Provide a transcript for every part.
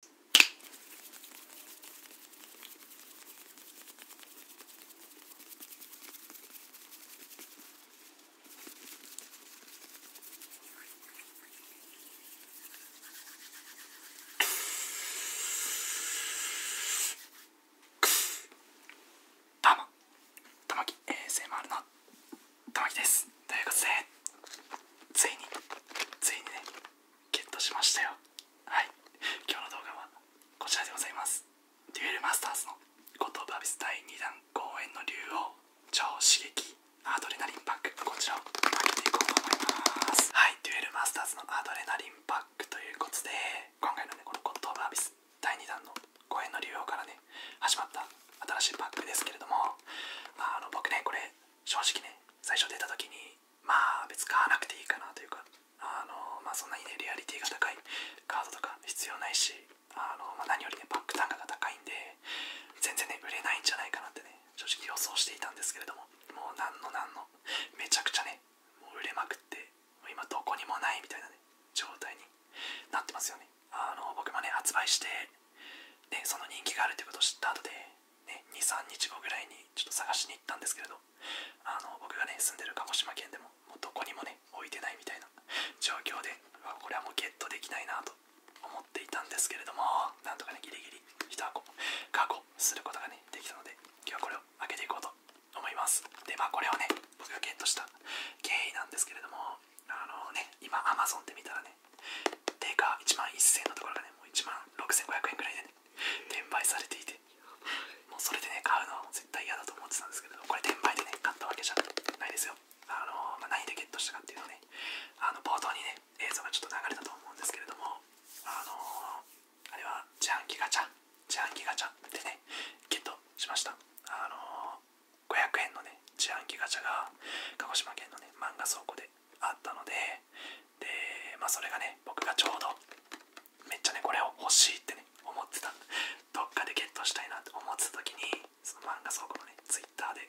どうも、ともき ASMR のともきです。ということで、ついに、ついにね。ゲットしましたよはい今日の動画はこちらでございますデュエルマスターズのッ五島バビス第2弾公演の竜王超刺激アドレナリンパックこちらを開けていこうと思いますはいデュエルマスターズのアドレナリンパックということで今回のねこの五島バビス第2弾の公演の竜王からね始まった新しいパックですけれども、あの僕ねこれ正直ね最初出た時にまあ別に買わなくていいかなというかあのまあそんなにねリアリティが高いカードとか必要ないしあの、まあ、何よりねバック単価が高いんで全然ね売れないんじゃないかなってね正直予想していたんですけれどももう何の何のめちゃくちゃねもう売れまくってもう今どこにもないみたいなね状態になってますよねあの僕もね発売してでその人気があるってことを知った後でね、23日後ぐらいにちょっと探しに行ったんですけれどあの僕がね住んでる鹿児島県でもどこにもね置いてないみたいな状況でこれはもうゲットできないなと思っていたんですけれどもなんとかねギリギリ1箱確保することがねできたので今日はこれを開けていこうと思いますでまあこれをね僕がゲットした経緯なんですけれどもあのね今 Amazon で見たらね定価1万1000円のところがね、もう1万6500円くらいで、ね、転売されていて、もうそれでね、買うのは絶対嫌だと思ってたんですけど、これ転売でね、買ったわけじゃないですよ。あのま何でゲットしたかっていうのね、あの冒頭にね、映像がちょっと流れたと思うんですけれども、あのあれは自販機ガチャ、自販機ガチャでね、ゲットしました。あの500円のね、自販機ガチャが鹿児島県のね、漫画倉庫であったので、で、まあ、それがね、僕がちょうど、めっちゃね、これを欲しいってね、思ってた、どっかでゲットしたいなって思ってた時に、その漫画倉庫のね、ツイッターで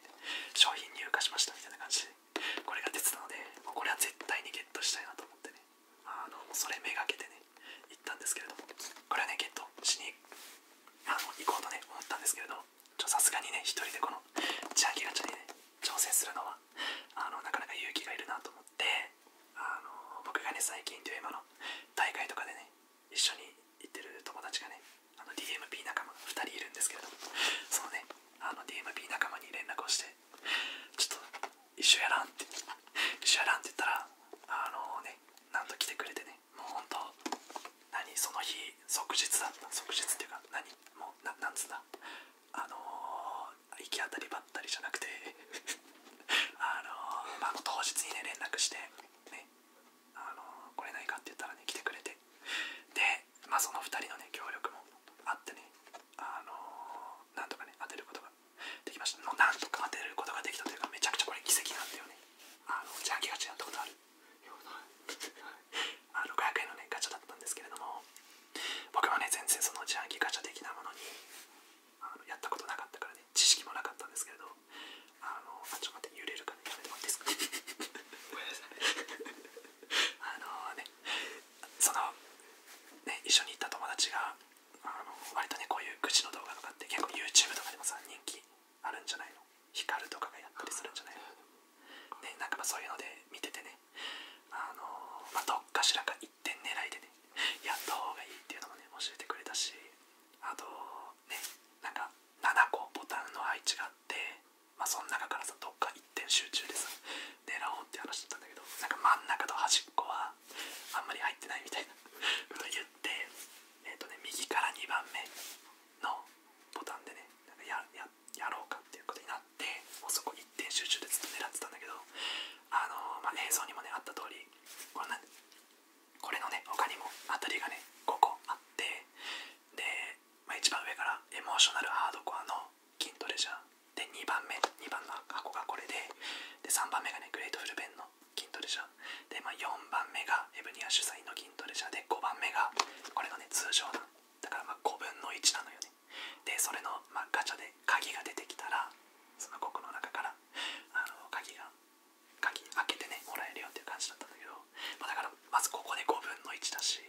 商品入荷しましたみたいな感じで、これが出てたので、もこれは絶対にゲットしたいなと思ってね、あの、それめがけてね、行ったんですけれども、これはね、ゲットしにあの行こうとね、思ったんですけれども、さすがにね、一人でこの、千秋ガチャにね、挑戦するのはあのなかなか勇気がいるなと思ってあの僕がね最近デュエマの大会とかでね一緒に行ってる友達がねあの DMP 仲間が2人いるんですけどそのねあの DMP 仲間に連絡をしてちょっと一緒やらんって一緒やらんって言ったらあのねなんと来てくれてねもうほん何その日即日だった即日っていうか何もなんつうんだあの行き当たりばったりじゃなくて あのー、ま当日にね連絡してあのー、来れないかって言ったらね来てくれてでまあその2人のね協力もあってねあのなんとかね当てることができましたもうなんとか当てることができたというかめちゃくちゃこれ奇跡なんだよねあのじゃあ気がちなったことある あ、600円のねガチャだったんですけれども僕はね全然その自販機ガチャ的なものにあのやったことなかったからね知識もなかったんですけれどあのあちょっと待って揺れるから、ね、やめてもらっていいかごめんなさい あのねそのね一緒に行った友達があの割とねこういう愚痴の動画とかって結構 YouTube とかでもさ人気あるんじゃないのヒカルとかがやったりするんじゃないのね、なんかそういうので見ててね、あのまどっかしらか1点狙いでね、やった方がいいっていうのもね、教えてくれたし、あと、ね、なんか7個ボタンの配置があって、まその中からさ、どっか1点集中でさ、狙おうって話だったんだけど、なんか真ん中と端っこはあんまり入ってないみたいなこと言って、えっ、とね、右から2番目のボタンでね、なんかややっやろうかっていうことになってもうそこ一点集中でずっと狙ってたんだけどあのまあ、映像にもねあった通りこりこれのねほかにもあたりがね5個あってで、まあ、一番上からエモーショナルハードコアの筋トレジャーで2番目2番の箱がこれでで3番目がねグレートフルベンの筋トレジャーで、まあ、4番目がエブニア主催の筋トレジャーで5番目がこれのね通常弾だからまあ5分の1なのよねでそれの、まガチャで鍵が出てきたらそのコクの中からあの鍵が鍵開けてねもらえるよっていう感じだったんだけど、まだからまずここで5分の1だし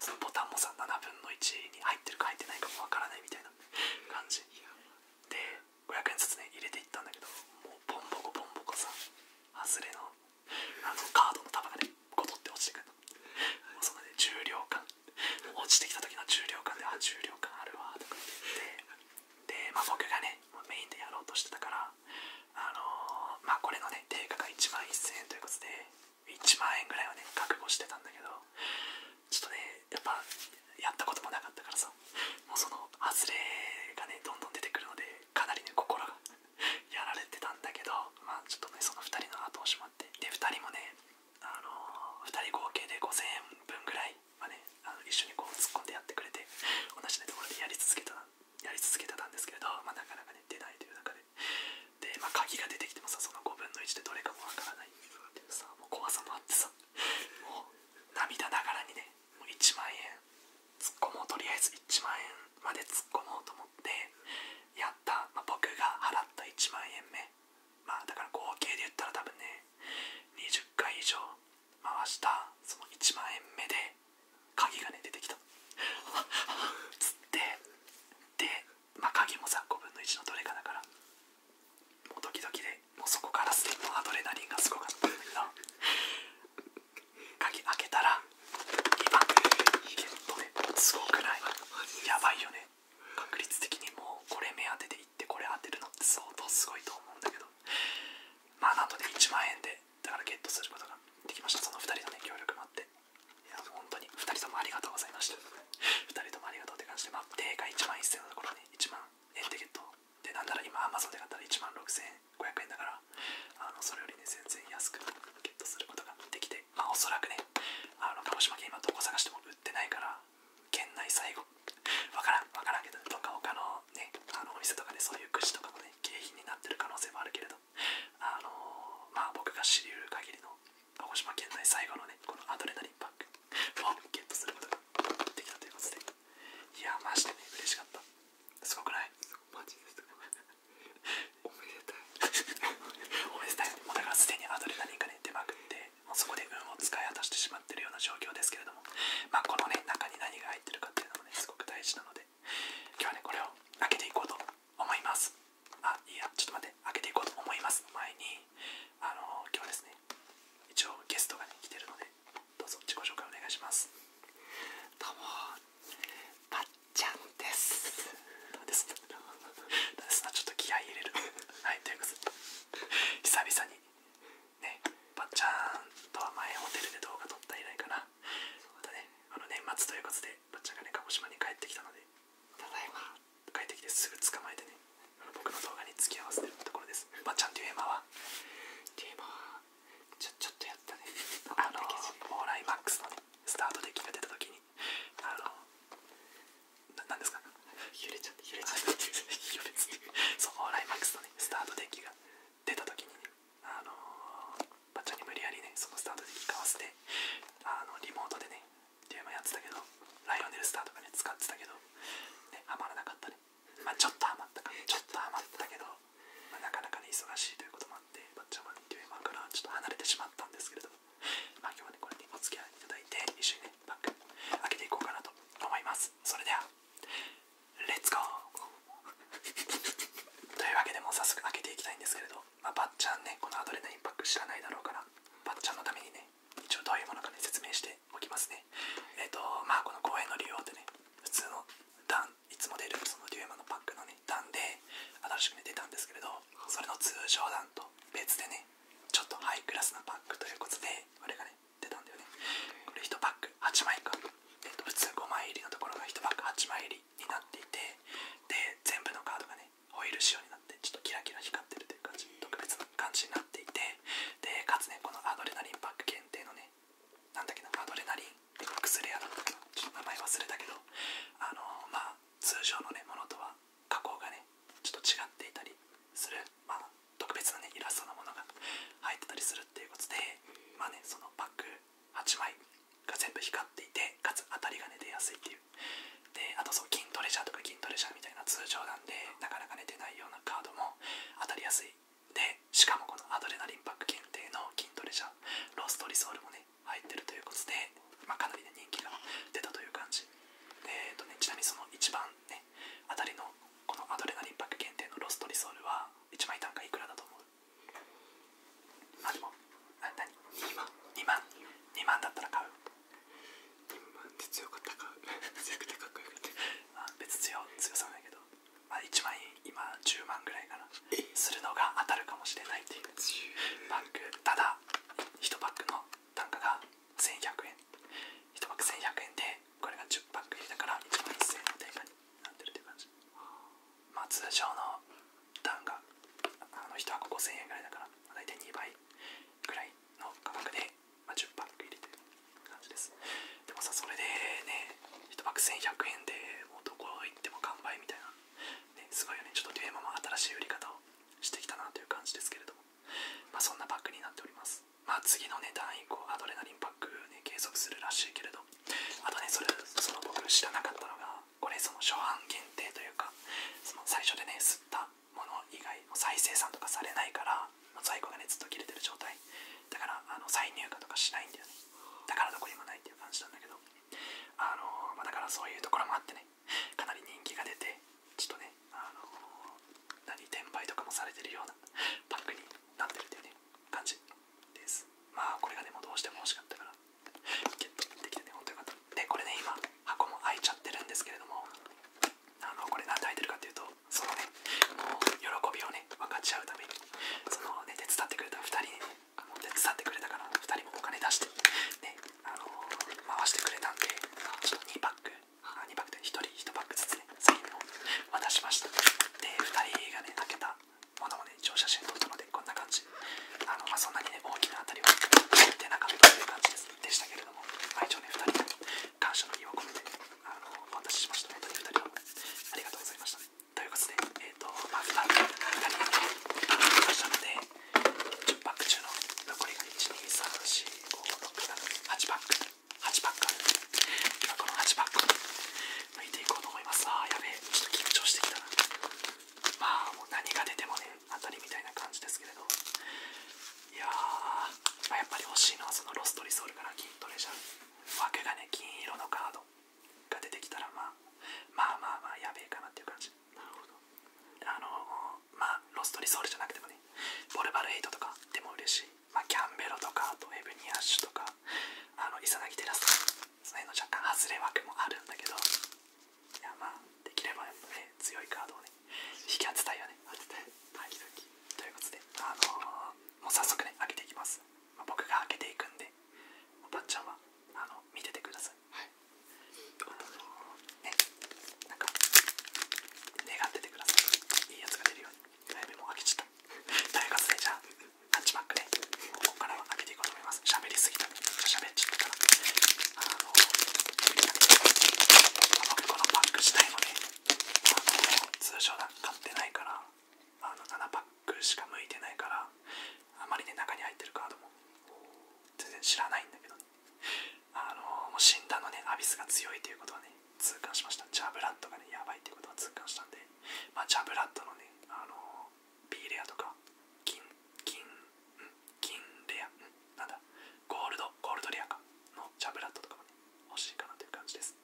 そのボタンもさ7分の1に入ってるか入ってないかもわからないみたいな感じで500円ずつね入れていったんだけどもうボンボコボンボコさ外れのあのカードの束がね個って落ちてくるのそのね重量感落ちてきた時の重量感であ重量感あるわとか言ってで、ま僕がねメインでやろうとしてたからあのまあこれのね定価が1万1000円ということで1万円ぐらいはね覚悟してたんだけどちょっとねやっぱやったこともなかったからさもうその外れがねどんどん出てくるのでかなりね心が やられてたんだけど、まあ、ちょっとね、その2人の後をしまって、で、2人もね、あの2人合計で5000円分ぐらいはね、あの一緒にこう突っ込んでやってくれて、同じ、ところでやり続けたやり続けてたんですけれど、まあ、なかなかね、出ないという中で、で、ま鍵が出てきてもさ、その5分の1でどれかもわからないっていうさ、もう怖さもあってさ、もう涙ながらにね、もう1万円、突っ込もう、とりあえず1万円まで突っ込もうと思って、やった、まあ、僕が払った1万円目、まあ、だから合計で言ったら多分ね20回以上回したその1万円目で鍵がね出てきた つってで、まあ、鍵もさ5分の1のどれかだからもうドキドキでもうそこからすでにアドレナリンがすごかったんだけど鍵開けたら今いけるとねすごくないやばいよね確率的にもうこれ目当てでいってこれ当てるのって相当すごいと思うんだけどまあなんとで1万円でだからゲットすることができましたその2人のね協力もあっていや本当に2人ともありがとうございました2人ともありがとうって感じでまあ定価1万1000円のところね1万円でゲットでなんなら今 Amazon で買ったら1万6500円だからあのそれよりね全然安くゲットすることができてまあ、おそらくね、あの鹿児島県、今どこ探しても売ってないから、県内最後、わからん、わからんけど、どっか他のね、あのお店とかでそういう串とかもね、景品になってる可能性もあるけれど、あのまあ、僕が知り得る限りの鹿児島県内最後のね、このアドレナリンパックをゲットすることができたということで、いや、まジでね、嬉しかった。すごくないマジです おめでたいおめでたいもうだからすでにアドレナリンね出まくってもうそこで運を使い果たしてしまってるような状況ですけれどもまこのね中に何が入ってるかっていうのもねすごく大事なので今日はねこれを開けていこうと思いますあいいやちょっと待って開けていこうと思います前にあの今日ですね一応ゲストが、ね、来てるのでどうぞ自己紹介お願いしますちゃんです。ですちょっと気合い入れる。はい、ということで、久々に、ね、ばっちゃんとは前ホテルで動画撮った以来かな。またね、あの年末ということで、ばっちゃんがね、鹿児島に帰ってきたので、ただいま、帰ってきてすぐ捕まえてね、僕の動画に付き合わせてるところです。ばっちゃんデュエマはデュエマはちょ、ちょっとやったね。あの、オーライマックスのスタートデッキが出た時に、あの何ですか揺れちゃって揺れちゃって揺れちゃってそうオーライマックスのねスタートデッキが出た時にねあのバッチャに無理やりねそのスタートデッキかわせてあのリモートでねテーマやってたけどライオネルスターとかね使ってたけどねハマらなかったねまちょっとハマったかちょっとハマったけど、まなかなかね忙しいということもまっバッチャマンデュエマ画からちょっと離れてしまったんですけれども、まあ、今日はねこれにお付き合いいただいて一緒にねバッグ開けていこうかなと思いますそれではレッツゴーというわけでも早速開けていきたいんですけれど、まあ、バッチャンねこのアドレナインパック知らないだろうからバッチャンのためにね一応どういうものかね説明しておきますねえっ、とまあこの公園の利用ってね普通の段いつも出るそのデュエマのパックのね段で新しくね出たんですけれどそれの通常弾と別でねちょっとハイクラスなバッグということであれがね出たんだよねこれ1パック8枚か、えっと、普通5枚入りのところが1パック8枚入りになっていてで全部のカードがねホイール仕様になってちょっとキラキラ光ってるという感じ特別な感じになっていてでかつねこのアドレナリンパック検定のねなんだっけなアドレナリンってクスレだったかなちょっと名前忘れたけどあのまあ通常のねものとは加工がねちょっと違っていたりする、まあ、特別なねイラストのものが入ってたりするっていうことでまあねそのパック8枚が全部光っていてかつ当たりがね出やすいっていうであとそう筋トレジャーとか筋トレジャーみたいな通常なんでなかなかね出ないようなカードも当たりやすいでしかもこのアドレナリンパック限定の筋トレジャーローストリソルもね入ってるということで、まあ、かなり、人気が出たという感じ。えーとね、ちなみにその一番ね、あたりのこのアドレナリンパック限定のロストリソールは1枚単価いくらだと思うまあでも、な何 ?2 万 ?2 万 ?2 万だったら買う ?2 万って強かったか 強くてかっこよくて、あ別強、強さないけど、まあ、1枚今10万ぐらいから、するのが当たるかもしれないっていう。バッグ、ただ、1パックの単価が1100円1パック1100円でこれが10パック入りだから1万1000円の単価になってるって感じまあ通常の単価あの1箱5000円ぐらいだから大体2倍ぐらいの価格で、まあ、10パック入りという感じですでもさそれでね1パック1100円でもうどこ行っても完売みたいなすごいよね、ちょっとデュエマも新しい売り方をしてきたなという感じですけれども、まそんなパックになっております。ま次のね、段以降、アドレナリンパック、ね、継続するらしいけれど、あとね、それその僕知らなかったのが、これ、その初版限定というか、その最初でね、吸ったもの以外、再生産とかされないから、在庫がね、ずっと切れてる状態。だから、あの再入荷とかしないんだよね。だからどこにもないっていう感じなんだけど、あのまだからそういうところもあってね、かなり人気が出てちょっとねあの何転売とかもされてるようなパックになってるというね感じですまあこれがねもうどうしても欲しかったからゲットできてね本当とよかったでこれね今箱も開いちゃってるんですけれどもあのこれ何で開いてるかっていうとそのねもう喜びをね分かち合うためにそのね手伝ってくれた2人に、ね、あの手伝ってくれたから2人もお金出して、ねあの回してくれたんでちょっと2パック2パックで1人1パックずつね次インを渡しましたで2人がね開けたものもね一応写真撮ったのでこんな感じあの、まあ、そんなにね大きな当たりは出てなかったという感じですでしたけれども、まあ、一応ね2人の感謝の意を込めてあのお渡ししました本当に2人はありがとうございましたということでえっ、ー、とまあ2人2人に感謝ので10パック中の残りが1234567 8パック8パックある今この8パックを抜いていこうと思いますああやべえちょっと緊張してきたなまあもう何が出てもね当たりみたいな感じですけれどいやー、まやっぱり欲しいのはそのロストリソールから筋トレじゃんけがね金色のカードが出てきたらまあまあまあやべえかなっていう感じなるほどあのまあロストリソールじゃなくてもねボルバルエイトとかでも嬉しい、まあ、キャンベロとかあとエブニアッシュとかあのイサナギテラスとかその辺の若干外れ枠もあるんだけどいやまあできればやっぱね強いカードをね引き当てたいよね当てたいということであのもう早速ね開けていきます、僕が開けていくんでおばっちゃんはあの見ててくださいはいあなんか願っててくださいいいやつが出るように早めも開けちゃったということでじゃあタッチバックでここからは開けていこうと思います喋りすぎためっちゃ喋っちゃったからあのこのパック自体もねあの通常だ買ってないからあの7パックしか向いてないからあまりね中に入ってるカードも全然知らないんだけどねあのもう死んだのねアビスが強いということはね痛感しましたジャブラッドがねやばいということは痛感したんで、まジャブラッドのねあのー、B レアとか金金金レアなんだゴールドゴールドレアかのジャブラッドとかもね欲しいかなという感じです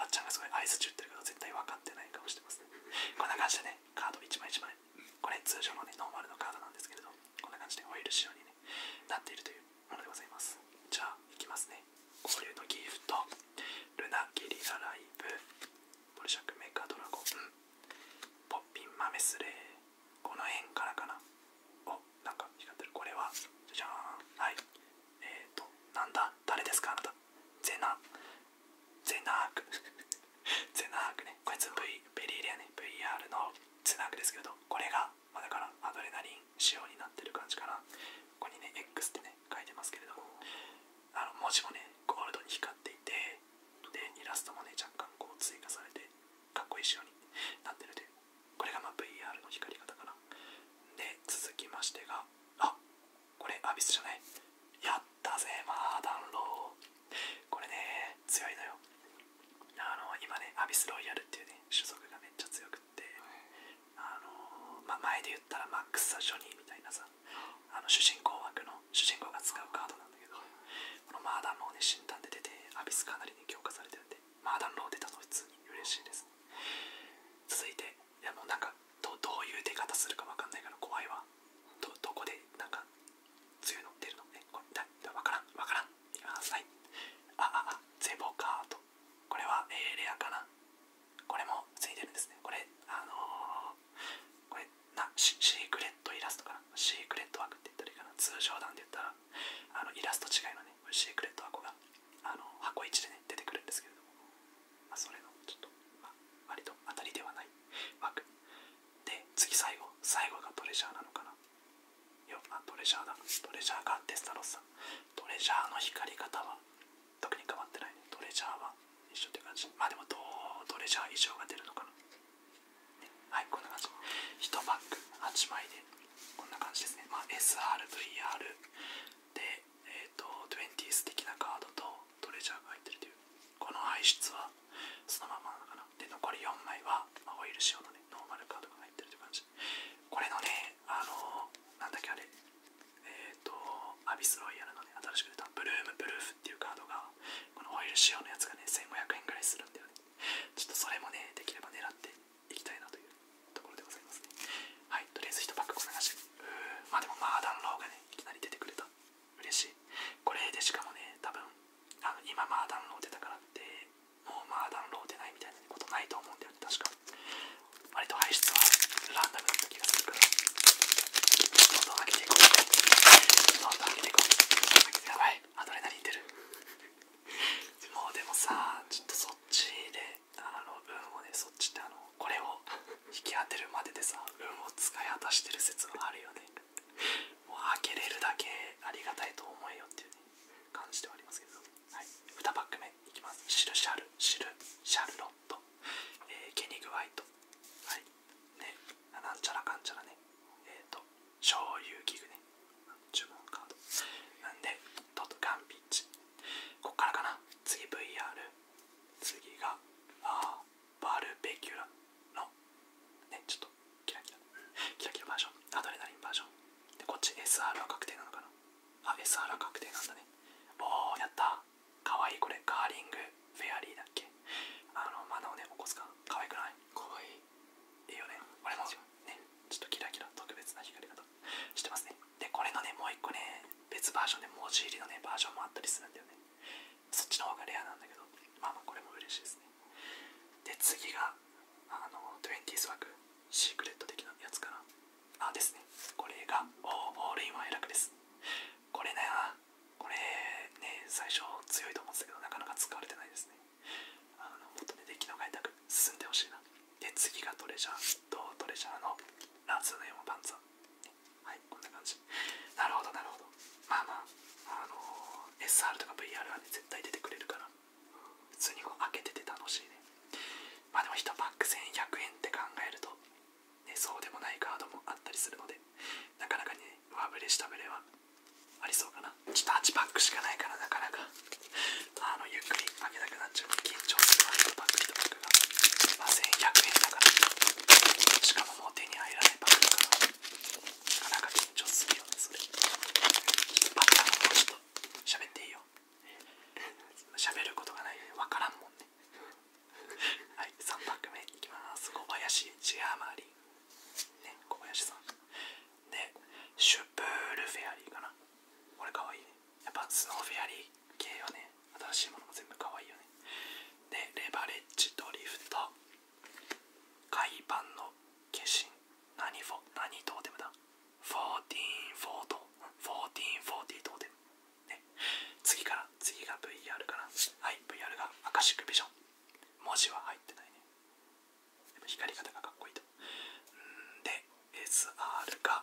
ばっちゃんがすごい合図打ってるけど絶対分かってない顔してますねこんな感じでねカード1枚1枚これ通常のノーマルのカードなんですけれどこんな感じでオイル仕様に、なっているというものでございますじゃあいきますね交流のギフトルナ・ゲリラ・ライブボルシャク・メカ・ドラゴンポッピン・マメスレーこの辺からかなおなんか光ってるこれはじゃじゃーんはいえっとなんだ誰ですかあなたゼナゼナーク ゼナークねこいつ V ベリーレアね VR のゼナークですけどこれが、まあ、だからアドレナリン仕様になってる感じかなここにね X ってね書いてますけれどもあの文字もねゴールドに光っていてでイラストもね若干こう追加されてかっこいい仕様になってるといこれがまあ VR の光り方から、で続きましてがあこれアビスじゃないやったぜマーダンローこれね、強いのよ。あの今ね、アビスロイヤルっていうね、種族がめっちゃ強くって、あのまあ、前で言ったらマックス・サ・ジョニーみたいなさ、あの主人公枠の主人公が使うカードなんだけど、このマーダンローね、診断で出て、アビスかなりね、強化されてるんで、マーダンロー出たと普通に嬉しいです。続いて、いやもうなんかど、どういう出方するかわかんないから怖いわ。どどこでなんか強いの出るのねこれわからんわからんいきますはいあああゼボカートこれは、えレアかなこれもついてるんですねこれあのこれなシークレットイラストかなシークレット枠って言ったらいいかな通常段で言ったらあのイラスト違いのねシークレット箱があの箱1でね出てくるんですけれども、まあ、それのちょっと、まあ、割と当たりではない枠で次最後最後がトレジャーなのかなよ、あトレジャーだトレジャーがデスタロスさんトレジャーの光り方は特に変わってないトレジャーは一緒って感じまあでもどうトレジャー以上が出るのかな、はいこんな感じ1パック8枚でこんな感じですねまあ SRVR でえっ、ー、と20ス的なカードとトレジャーが入ってるというこの排出はそのままなのかなで残り4枚は、まオイル仕様のねノーマルカードが入ってるって感じこれのねあのなんだっけあれえっ、とアビスロイヤルのね新しく出たブルームブルーフっていうカードがこのオイル仕様のやつがね1500円ぐらいするんだよねちょっとそれもねできれば狙っていきたいなというところでございますねはいとりあえず1パックこんなうーまあでもまあダンローがねいきなり出てくれた嬉しいこれでしかもね多分あの今まあダウンロード出たからってもうまあダウンロード出ないみたいなことないと思うんだよね確か割と排出はランダムだった気がするからどんどん上げていこうどんどん上げていこうやばいアドレナリン出るもうでもさちょっとそっちであの運をねそっちってあのこれを引き当てるまででさ運を使い果たしてる説があるよねもう開けれるだけありがたいと思えよっていう、ね、感じではありますけど、はい、2パック目いきますシルシャルシルシャルロット、えー、ケニグワイトはいねなんちゃらかんちゃらねえっ、ー、と醤油器具ね注文カードなんでトットガンビッチこっからかな次 VR 次がああ。バルベキュラの、ね、ちょっとキラキラ、キラキラバージョン、アドレナリンバージョン。で、こっち SR は確定なのかなあ、SR は確定なんだね。おー、やったかわいいこれ、ガーリングフェアリーだっけあの、マナをね、起こすか。かわいくないかわいい。いいよね。俺も、ね、ちょっとキラキラ特別な光り方してますね。で、これのね、もう一個ね、別バージョンで文字入りのね、バージョンもあったりするんだよね。そっちの方がレアなんだけどまあまあこれも嬉しいですねで次があの 20s 枠シークレット的なやつかなああ、ですねこれがオールインワンエラクですこれねこれね最初強いと思ってたけどなかなか使われてないですねあのもっとねデのキの開く、進んでほしいなで次がトレジャーとトレジャーのラズネームパンツーはい、こんな感じ。なるほど、なるほど。まあまあ、あの SR とか VR はね、絶対出てくれるから、普通にこう開けてて楽しいね。まあでも1パック1100円って考えると、ね、そうでもないカードもあったりするので、なかなかね、上振れ下振れはありそうかな。ちょっと8パックしかないから、なかなか、あの、ゆっくり開けなくなっちゃう。緊張するわ、1パック1パックが。1100円だから、しかももう手に入らないパックだから。なかなか緊張するよねそれちっとッターのちょっと喋っていいよ喋ることがないよね分からんもんねはい3拍目いきます小林ジアマリンね小林さんでシュプールフェアリーかなこれかわいいねやっぱスノーフェアリー系よね新しいものも全部かわいいよねでレバレッジドリフト海パの化身何フォ何トーテムだ1440ト1440トーテムね次から次が VR からはい VR がアカシックビジョン文字は入ってないね光り方がかっこいいとんで SR が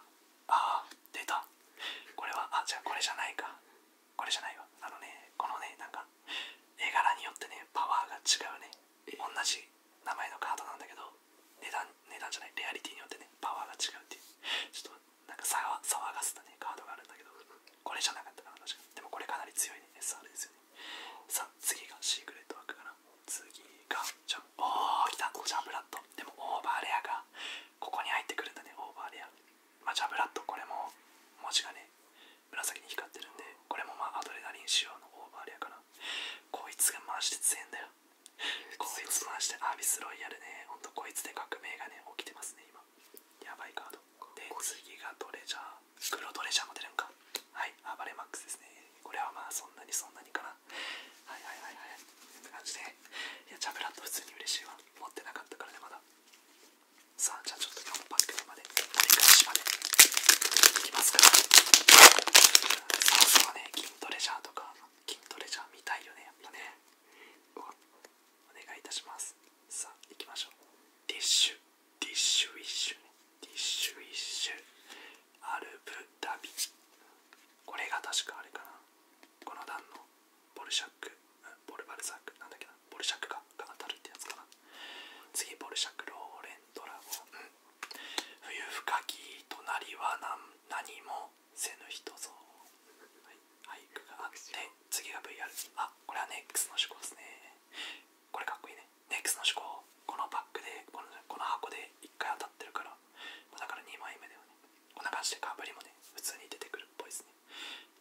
あー出たこれはあじゃあこれじゃないかこれじゃないわあのねこのねなんか絵柄によってねパワーが違うね同じ名前のカードなんだけど値段値段じゃないレアリティによってねパワーが違うってちょっとなんか騒がせたねカードがあるんだけどこれじゃなかったかな確かにでもこれかなり強いね SR ですよねさあ次がシークレットワークかな次がじゃんおお来たジャンブラット、でもオーバーレアがここに入ってくるんだねオーバーレアまジャブラッドこれも文字がね紫に光ってるんでこれもまあアドレナリン仕様のオーバーレアかなこいつが回して強いんだよこいつマジでアビスロイヤルねほんとこいつで革命がね起きてますね今やばいカードで次がトレジャー黒ドレジャーも出るんかはい暴れマックスですねこれはまあそんなにそんなにかなはいはいはいはいって感じでいやジャブラッド普通に嬉しいわ持ってなかったからねまださあじゃあちょっと今もパック目まで折り返しまでいきますかさあそうね筋トレジャーとか筋トレジャー見たいよねやっぱねうわお願いいたしますさあ行きましょうディッシュディッシュウィッシュねディッシュウィッシュアルブダビこれが確かあれかなこの段のボルシャック、うボルバルサック、なんだっけな、ボルシャックが当たるってやつかな。次、ボルシャック、ローレンドラゴン。冬深き隣は何もせぬ人ぞ。はい、俳句があって、次が VR。あ、これはネックスの思考ですね。これかっこいいね。ネックスの思考、このパックで、このこの箱で1回当たってるから、だから2枚目だよね。こんな感じでかぶりもね、普通に出てくるっぽいですね。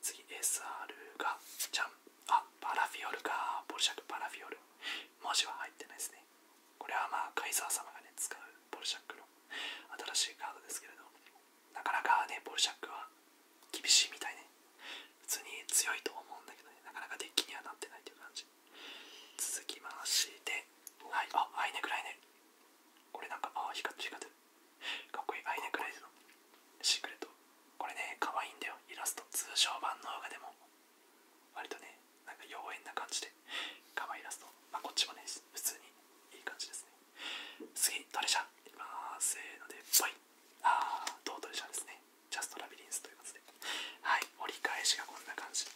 次 SR がじゃんあパラフィオルかポルシャクパラフィオル文字は入ってないですねこれはまあカイザー様がね使うポルシャックの新しいカードですけれどなかなかねポルシャックは厳しいみたいね普通に強いと思うんだけどねなかなかデッキにはなってないという感じ続きましてはいあアイネクライネこれなんかあ光ってる光ってかっこいいアイネクレイズのシークレットこれね可愛いんだよイラスト通称版の方がでも割とねなんか妖艶な感じで可愛いイラストまあこっちもね普通にいい感じですね次トレジャーいきますせーのでバい、ああ、どうトレジャーですねジャストラビリンスということではい折り返しがこんな感じ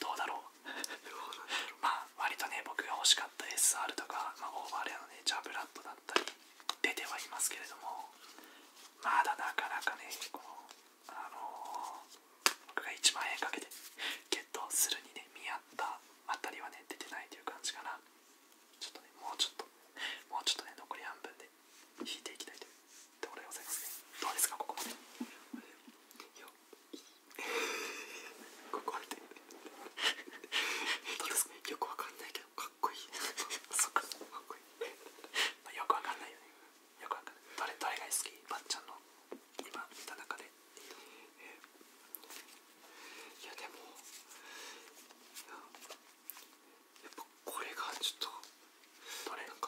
どうだろう まあ割とね僕が欲しかった SR とか、まあ、オーバーレアのねジャブラッドだったり出てはいますけれどもまだなかなかねこのあの僕が1万円かけてゲットするにね見合ったあたりはね出てないという感じかなちょっとねもうちょっともうちょっとね残り半分で引いていきたいとでございますねどうですかここまで よくわかんないけどかっこいい よくわかんないよねよくわかんないどれが好きばっちゃんの今見た中でいやでもやっぱこれがちょっと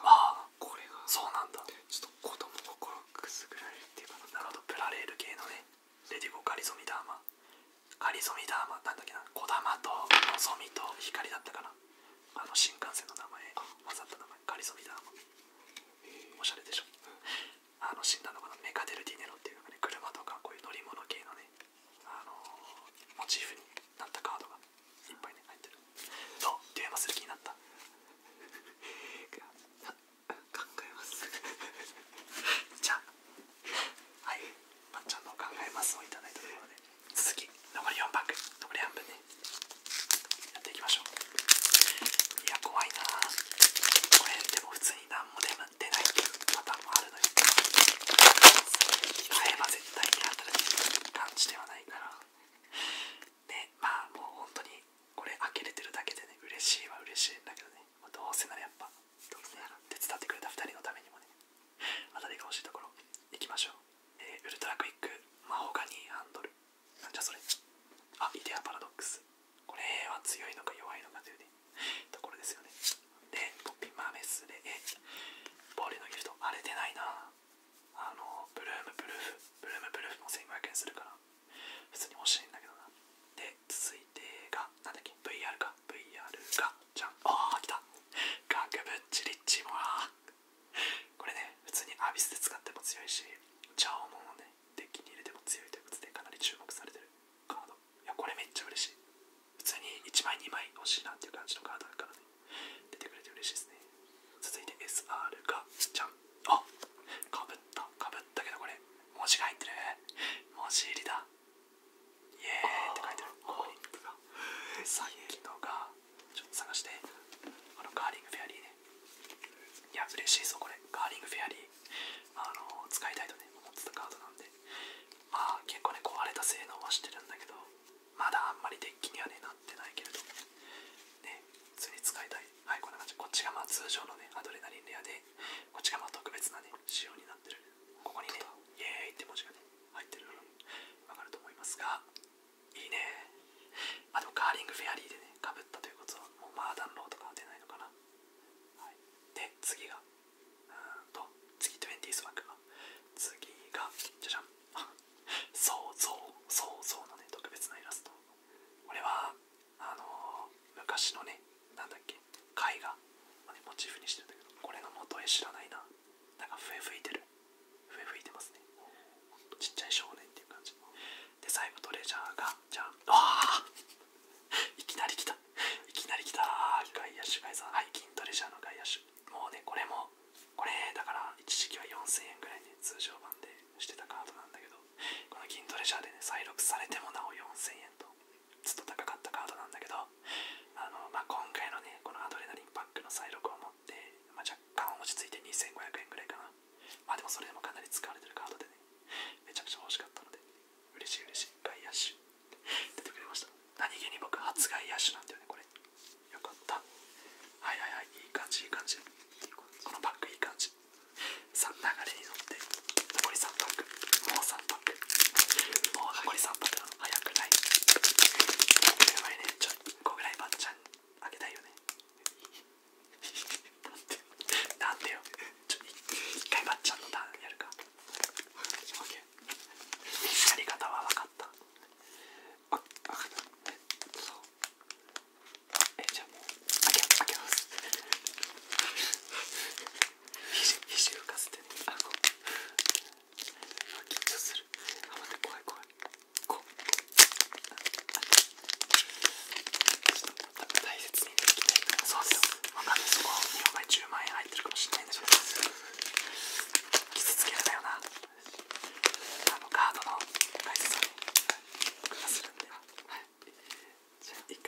ああこれがそうなんだちょっと子供心くすぐられるっていうかなるほどプラレール系のね出ていこうリソミダーマカリソミダーマなんだっけな小玉とのぞみと光だったかなあの新幹線の名前わざと名前カリソミダーマおしゃれでしょあの死んだのかなメカデルディネロっていう車とかこういう乗り物系のねあのモチーフになったカードがいっぱいね入ってるそうデュエマする気になった考えますじゃあはいまっちゃんの考えますをいただいたところで続き残り4パック残り半分ねやっていきましょういや怖いなこれでも普通に何も出ないパターンもあるのよ買えば絶対に当たる感じではないからでまあもう本当にこれ開けれてるだけでね嬉しいは嬉しいんだけどねどうせならやっぱ突手伝ってくれた2人のためにもねあたりが欲しいところ行きましょう、えー、ウルトラクイックマホガニーハンドルなじゃそれあイデアパラドックスこれは強いのか弱いのかというねところですよねでポッピーマーメスでボールのギフト荒れてないなあのブルームブルーフブルームブルーフも1500円するから普通に欲しいんだけどなで続いてがなんだっけ VR か VR がじゃんああ来た額ぶっちりっちもなこれね普通にアビスで使っても強いしジャオモンをねデッキに入れても強いということでかなり注目されてるカードいやこれめっちゃ嬉しい普通に1枚2枚欲しいなっていう感じのカードだからね出てくれて嬉しいですね続いて SR がじゃんあかぶったかぶったけどこれ文字が入ってる文字入りだイエーって書いてあるここに僕がさっきのがちょっと探してあのカーリングフェアリーねいや嬉しいぞこれカーリングフェアリーあの使いたいとね思ってたカードなんでまあ結構ね壊れた性能はしてるんだけどまだあんまりデッキにはねなってないけれどね普通に使いたいはいこんな感じこっちがまあ通常のねアドレナリンレアでこっちがまあ特別なね仕様になってるここにね「イエーイ」って文字がね入ってるの分かると思いますがいいねあでカーリングフェアリーでねかぶったということはもうマーダンロードがは出ないのかな、はい、で次がうんと次トゥエンティースワークが次がじゃじゃん そうそうそうそうのね特別なイラストこれはあの昔のねなんだっけ絵画モチーフにしてるんだけどこれの元へ知らないななんか笛吹いてる笛吹いてますねちっちゃい少年っていう感じで最後トレジャーがじゃあわあいきなり来たいきなり来た外野手外さんはい銀トレジャーの外野手もうねこれもこれだから一時期は4000円ぐらいね通常版でしてたカードなんだけどこの銀トレジャーでね再録されてもなお4000円とずっと高かったカードなんだけどあの、まあ、今回のねこのアドレナリンパックの再録を持って、ま若干落ち着いて2500円ぐらいかなまあでもそれでもかなり使われてるカードでねめちゃくちゃ欲しかったので嬉しい嬉しい外野手出てくれました何気に僕初外野手なんだよねこれよかったはいはいはいいい感じいい感じこのパックいい感じさあ流れに乗って残り3パックもう3泊もう残り3泊なの早くないこれはねちょっと1個ぐらいばっちゃんあげたいよねなんてよちょっと1回ばっちゃんのターンやるかやり方は分かったあ分かったそうえじゃあもうあげ、開けます肘浮かせてあこう緊張するあ待って怖い怖いこうちょっと大切にできなそうですよ分んなそこ2枚10万円入ってるかもしれないんだけど傷つけるんだよなあのカードの大切にはいじゃあ一回整えて整えて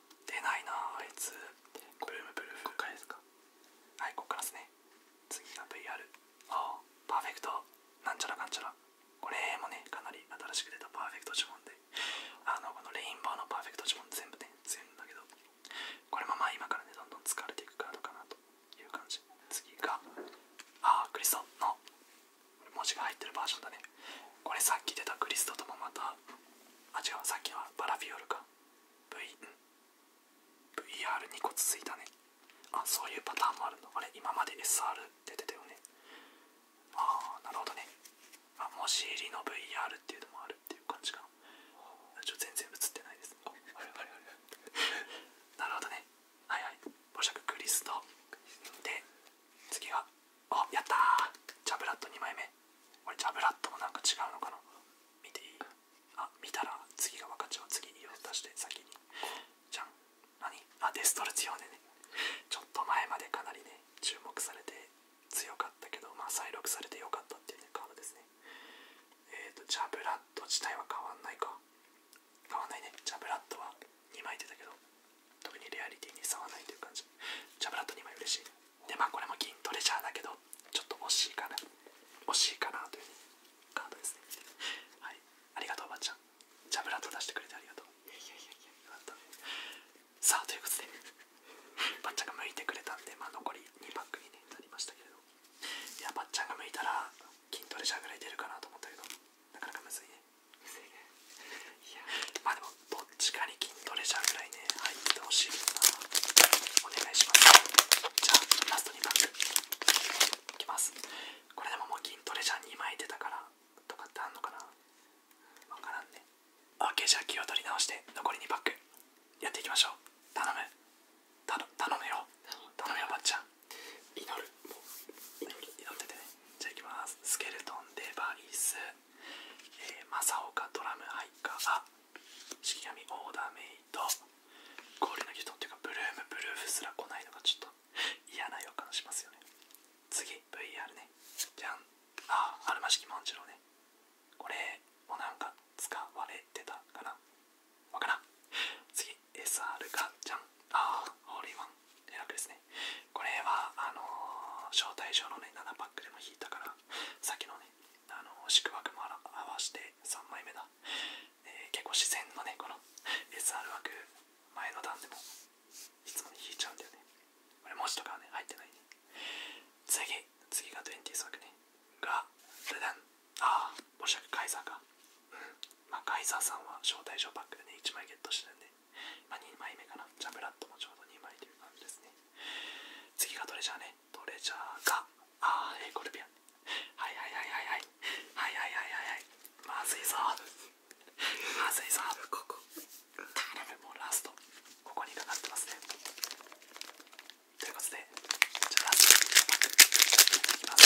出ないなあいつブルームブルーフこからですかはいここからですね次が VR ああパーフェクトなんちゃらなんちゃらこれもねかなり新しく出たパーフェクト呪文であのこのレインボーのパーフェクト呪文全部ね強いんだけどこれもまあ今からねどんどん疲れていくからかなという感じ次がああクリストの文字が入ってるバージョンだねこれさっき出たクリストともまたあ違うさっきのはバラフィオルか V、VR に個ついたねあそういうパターンもあるのあれ今まで SR 出てたよねああなるほどねあもし入りの VR っていうのもあるっていう感じかなち全然映ってないです、あ、ああれあれあれなるほどねはいはい。ポシクリストで次はあやったジャブラット2枚目俺ジャブラットもなんか違うのかな見ていいあ見たら次が分かっちゃう次に色を出して先にじゃん何あデストル強いねちょっと前までかなりね注目されて強かったけどまあ再録されて良かったっていうねカードですねえっ、とジャブラット自体は変わんないか変わんないねジャブラットは2枚出たけど特にリアリティに差はないという感じジャブラット2枚嬉しいでまあこれも銀トレジャーだけどちょっと惜しいかな惜しいかなというカードですねはいありがとうおばちゃんジャブラット出してくれてありがとうさあということでばっちゃんが向いてくれたんでまあ残り2パックに、なりましたけどいやばっちゃんが向いたら筋トレじゃぐらい出るかなと思ったけどなかなかむずいねむずいねいやまあでもどっちかに筋トレ者ぐらいね入ってほしいなお願いしますじゃあラストにバックいきますこれでももう筋トレ者2枚出たからとかってあんのかなわからんね OK じゃあ気を取り直して残り2バックやっていきましょう頼む頼むよ頼むよばっちゃん祈る祈っててねじゃあいきますスケルトンデバイスえー、正岡ドラムハイカーが式神オーダーメイド氷の人っていうかブルームブルーフすら来ないのがちょっと嫌な予感しますよね次 VR ねじゃんああるま式万次郎ねこれもなんか使われてたから。わからん次 SR か、じゃんああホールインワン楽ですねこれはあのー、招待状のね7パックでも引いたからさっきのねあの宿泊も合わして3枚目だ、えー、結構自然のねこの SR 枠前の段でもいつもに引いちゃうんだよねこれ文字とかはね入ってないね次次が20枠ねがルダンああおしゃくカイザーかうんまあカイザーさんは招待状パックね1枚ゲットしてるんでまあ2枚目かなジャブラットもちょうど2枚という感じですね次がトレジャーねトレジャーがあーえー、コルビアンはいはいはいはいはいはいはいはいはいまずいぞまずいぞここ頼むもうラストここにかかってますねということでじゃあラストいきます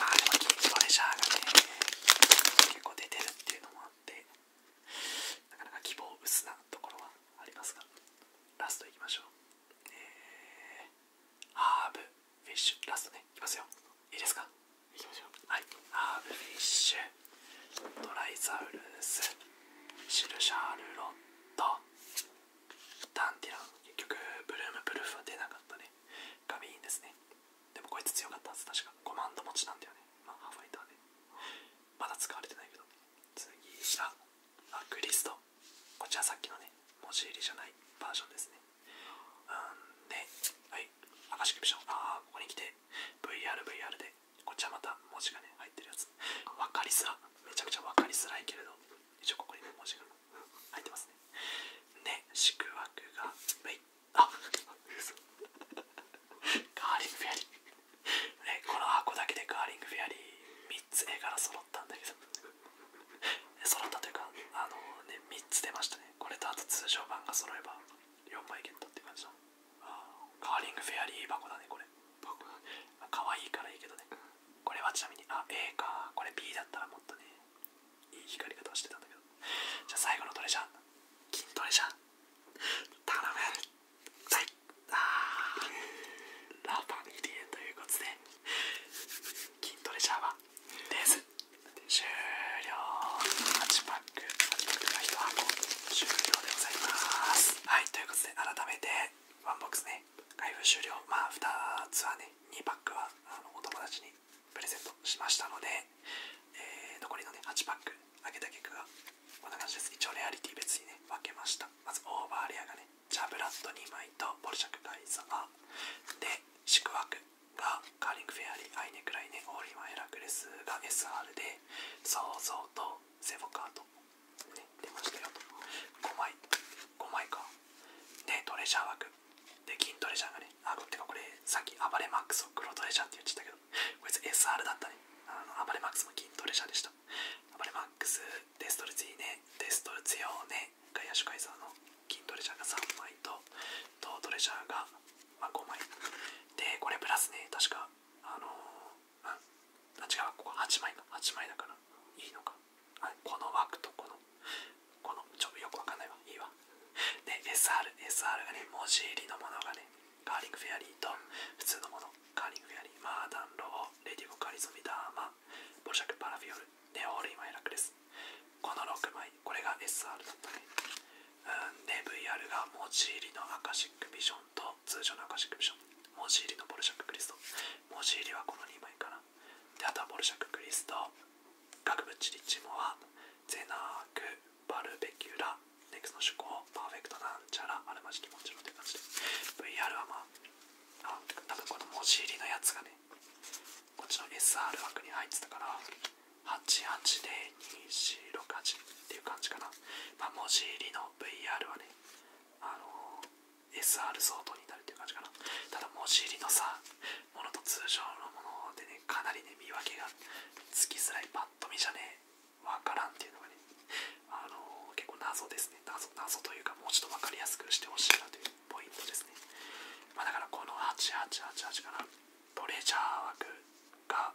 まあでもキンキトレジャーがね結構出てるっていうのもあってなかなか希望薄なところはありますが、ラストいきましょう。えー、ハーブ、フィッシュ、ラストね、いきますよ。いいですかいきましょう。はい、ハーブ、フィッシュ、ドライザウルス、シルシャルロット、ダンディラン、結局、ブルームプルーフは出なかったね。ガビーンですね。でもこいつ強かったはず、確か。コマンド持ちなんだよね。まあ、ハーファイターで。まだ使われてないけど次があクリストこちらさっきのね文字入りじゃないバージョンですねうんね、はいアカシクビションああここにきて VRVR でこっちはまた文字がね入ってるやつわかりづらめちゃくちゃわかりづらいけれど一応ここに文字が入ってますねね、で宿泊がウェイあ嘘カーリングフェアリーね、この箱だけでカーリングフェアリー3つ絵柄揃ったんだけど揃ったというかあのね3つ出ましたねこれとあと通常版が揃えば4枚ゲットって感じカーリングフェアリー箱だねこれ可愛いからいいけどねこれはちなみにあ A かこれ B だったらもっとねいい光り方してたんだけどじゃ最後のトレジャ金トレジャはいあラパンキリエということで筋トレジャーはレーズ終了8パック8パックが1箱終了でございますはいということで改めてワンボックスね開封終了まあ2つはね2パックはあのお友達にプレゼントしましたので、え残りのね8パックあげた結果がこんな感じです。一応レアリティ別にね、分けました。まずオーバーレアがね、ジャブラッド2枚とボルシャクガイザー。で、宿泊がカーリングフェアリー、アイネクライネ、オーリマンヘラクレスが SR で、そうそうとセボカート、ね、出ましたよと。5枚、5枚か。で、トレジャー枠。で、金トレジャーがね、あ、ってかこれ、さっき暴れマックスを黒トレジャーって言ってたけど、こいつ SR だったね。あの暴れマックスも筋トレャーでした。ア暴レマックス、デストルツィーネ、デストルツヨーネ、ガイアシュカイザーの筋トレ者が3枚と、トートレジャーが、まあ、5枚。で、これプラスね、確か、あのー、うん、あ違う、ここ8枚の、8枚だから、いいのか。あこの枠とこの、この、ちょっとよくわかんないわ、いいわ。で、SR、SR がね、文字入りのものがね、カーリングフェアリーと普通のものカーリングフェアリーマーダンローレディボカリゾミダーマボルシャクパラフィオルネオールイマイラクレスこの6枚これが SR だったねうんで v ルが文字入りのアカシックビジョンと通常のアカシックビジョン文字入りのボルシャククリスト文字入りはこの2枚かなであとはボルシャククリスト額チリッチモアゼナークバルベキュラ、ネクスの趣向、パーフェクトなんちゃら、あるまじきもちろんとい感じで、VR はまあ、あ多分この文字入りのやつがね、こっちの SR 枠に入ってたから、880268っていう感じかな。まあ、文字入りの VR はね、あの SR 相当になるっていう感じかな。ただ文字入りのさ、ものと通常のものでね、かなりね、見分けがつきづらいパッと見じゃねえ。わからんっていうのがね、あの結構謎ですね謎。謎というか、もうちょっとわかりやすくしてほしいなというポイントですね。まあ、だからこの8888かな、トレジャー枠が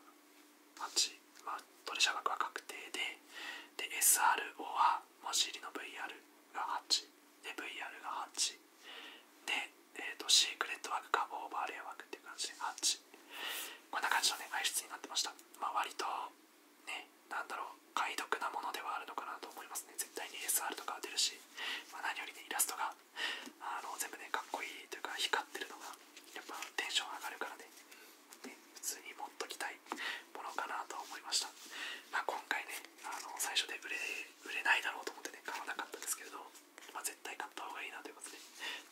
8、まあ、トレジャー枠は確定で、で、SRO は文字入りの VR が8、で、VR が8、で、えっ、と、シークレット枠かオーバーレイ枠っていう感じで8。こんな感じのね、排出になってました。まあ割とねなんだろう解読なものではあるのかなと思いますね絶対に SR とか出るし、まあ、何よりねイラストがあの全部ねかっこいいというか光ってるのがやっぱテンション上がるからね普通に持っときたいものかなと思いました、まあ、今回ねあの最初で売れ売れないだろうと思ってね買わなかったんですけれど、まあ、絶対買った方がいいなということで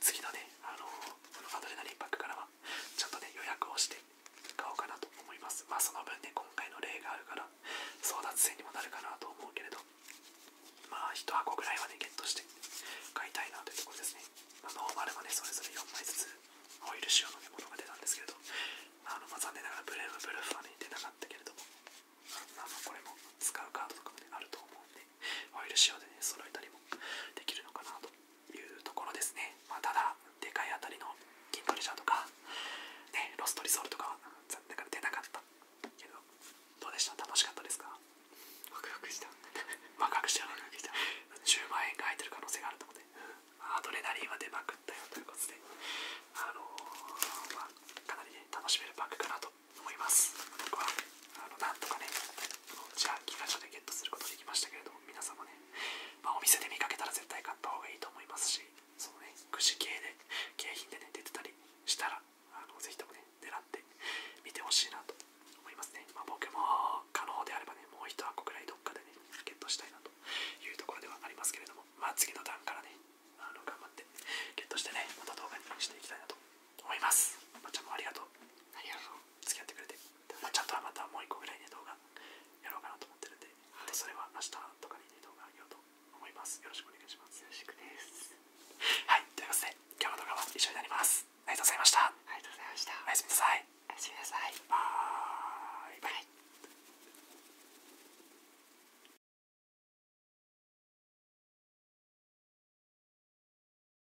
次のねあのアドレナリンパックからはちょっとね予約をして買おうかなと思いますまあその分ね今回の例があるから争奪戦にもなるかなと思うけれどまあ1箱ぐらいはねゲットして買いたいなというところですね、あ、ノーマルはねそれぞれ4枚ずつオイル仕様の、ね、ものが出たんですけれどあのま残念ながらブルームブルーファはね出なかったけれどもあのこれも使うカードとかもねあると思うんでオイル仕様でね、揃えたりもできるのかなというところですね。まただ、でかいあたりの筋トレジャーとか、ね、ロストリソールとか、残念ながら出なかったけど、どうでした楽しかったですかワクワクした。ワクワクした。10万円が入ってる可能性があるとこって、アドレナリンは出まくったよということで、あのまかなり、楽しめるバッグかなと思います。僕はあのなんとかね、じゃあギガチでゲットすることできましたけれども皆様ね、まお店で見かけたら絶対買った方がいいと思いますしそのねくじ系で景品でね出てたりしたらあのぜひともね狙って見てほしいなと思いますね、ま僕も可能であればねもう一箱くらいどっかでねゲットしたいなというところではありますけれどもまあ次の段からねあの頑張ってゲットしてねまた動画にしていきたいなと思います。まっちゃんもありがとう。ありがとう。付き合ってくれて。まちゃんとはまたもう1個ぐらいね、動画やろうかなと思ってるんで、はい、それは明日とかにね、動画あげようと思います。よろしくお願いします。よろしくです。はい、ということで、今日の動画は以上になります。ありがとうございました。ありがとうございました。おやすみなさい。おやすみなさい。バイバイ。はい